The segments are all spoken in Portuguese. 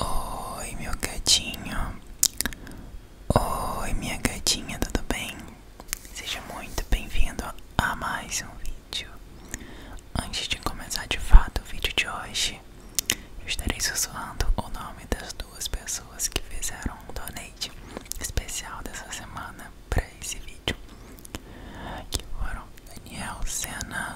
Oi, meu gatinho. Oi, minha gatinha, tudo bem? Seja muito bem-vindo a mais um vídeo. Antes de começar de fato o vídeo de hoje, eu estarei sussurrando o nome das duas pessoas que fizeram um donate especial dessa semana para esse vídeo, que foram Daniel Sena.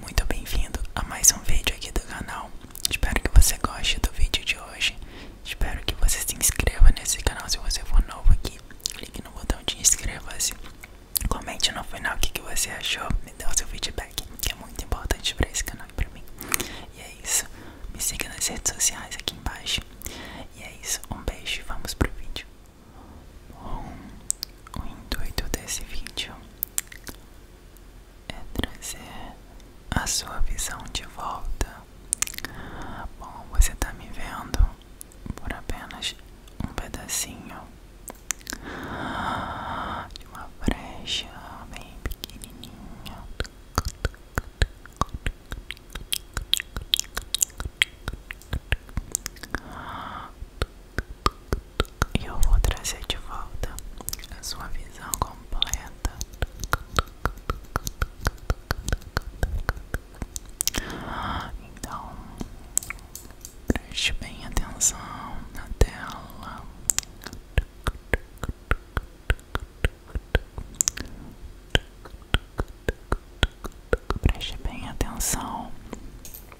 muito bem-vindo a mais um vídeo aqui do canal. Espero que você goste do vídeo de hoje. Espero que você se inscreva nesse canal se você for novo aqui. Clique no botão de inscreva-se. Comente no final o que, você achou. Me dê o seu feedback, que é muito importante para esse canal e para mim. E é isso. Me siga nas redes sociais aqui embaixo. E é isso. Um beijo e vamos pro vídeo. Bom, o intuito desse vídeo é trazer a sua visão de volta. Bom, você está me vendo por apenas um pedacinho de uma brecha bem pequenininha e eu vou trazer de volta a sua visão completa. Então, preste bem atenção na tela. Preste bem atenção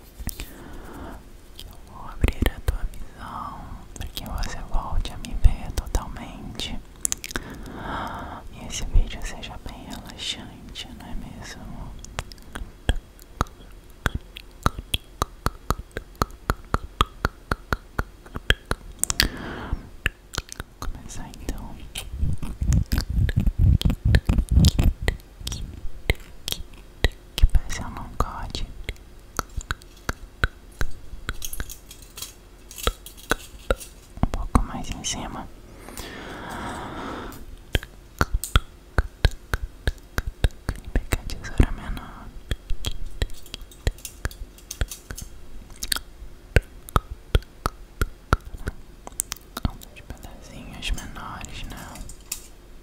eu vou abrir a tua visão para que você volte a me ver totalmente e esse vídeo seja bem relaxante, não é mesmo? Vou começar então que passam num código. Um pouco mais em cima. Pegar a tesoura menor. Uns pedacinhos menores, não.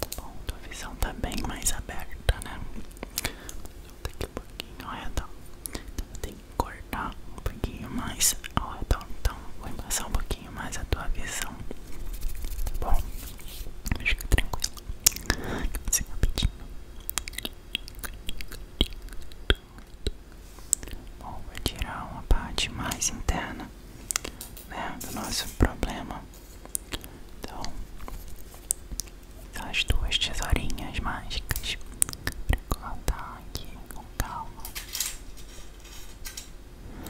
Tá bom, tua visão tá bem mais aberta, né? Volta aqui um pouquinho ao redor. Então eu tenho que cortar um pouquinho mais ao redor. Então vou embaçar um pouquinho mais a tua visão. Tá bom? com tranquilo. Assim rapidinho. Bom, vou tirar uma parte mais interna né, do nosso problema. Então, as duas tesourinhas mágicas para cortar aqui com calma.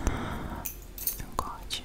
Um corte.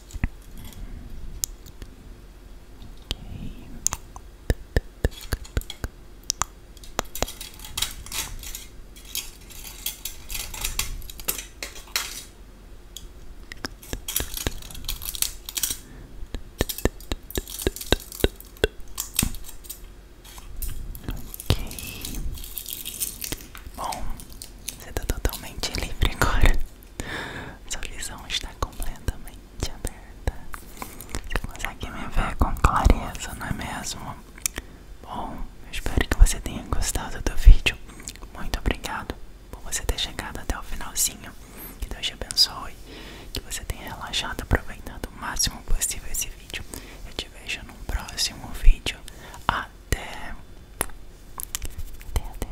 Ok, bom, você tá totalmente livre agora. Sua visão está completamente aberta. Você consegue me ver com clareza, não é mesmo? Bom, eu espero que você tenha gostado do vídeo. Muito obrigado por você ter chegado até o finalzinho. Que Deus te abençoe. Que você tenha relaxado, aproveitando o máximo possível esse vídeo. Eu te vejo no próximo vídeo. Até. Até, até.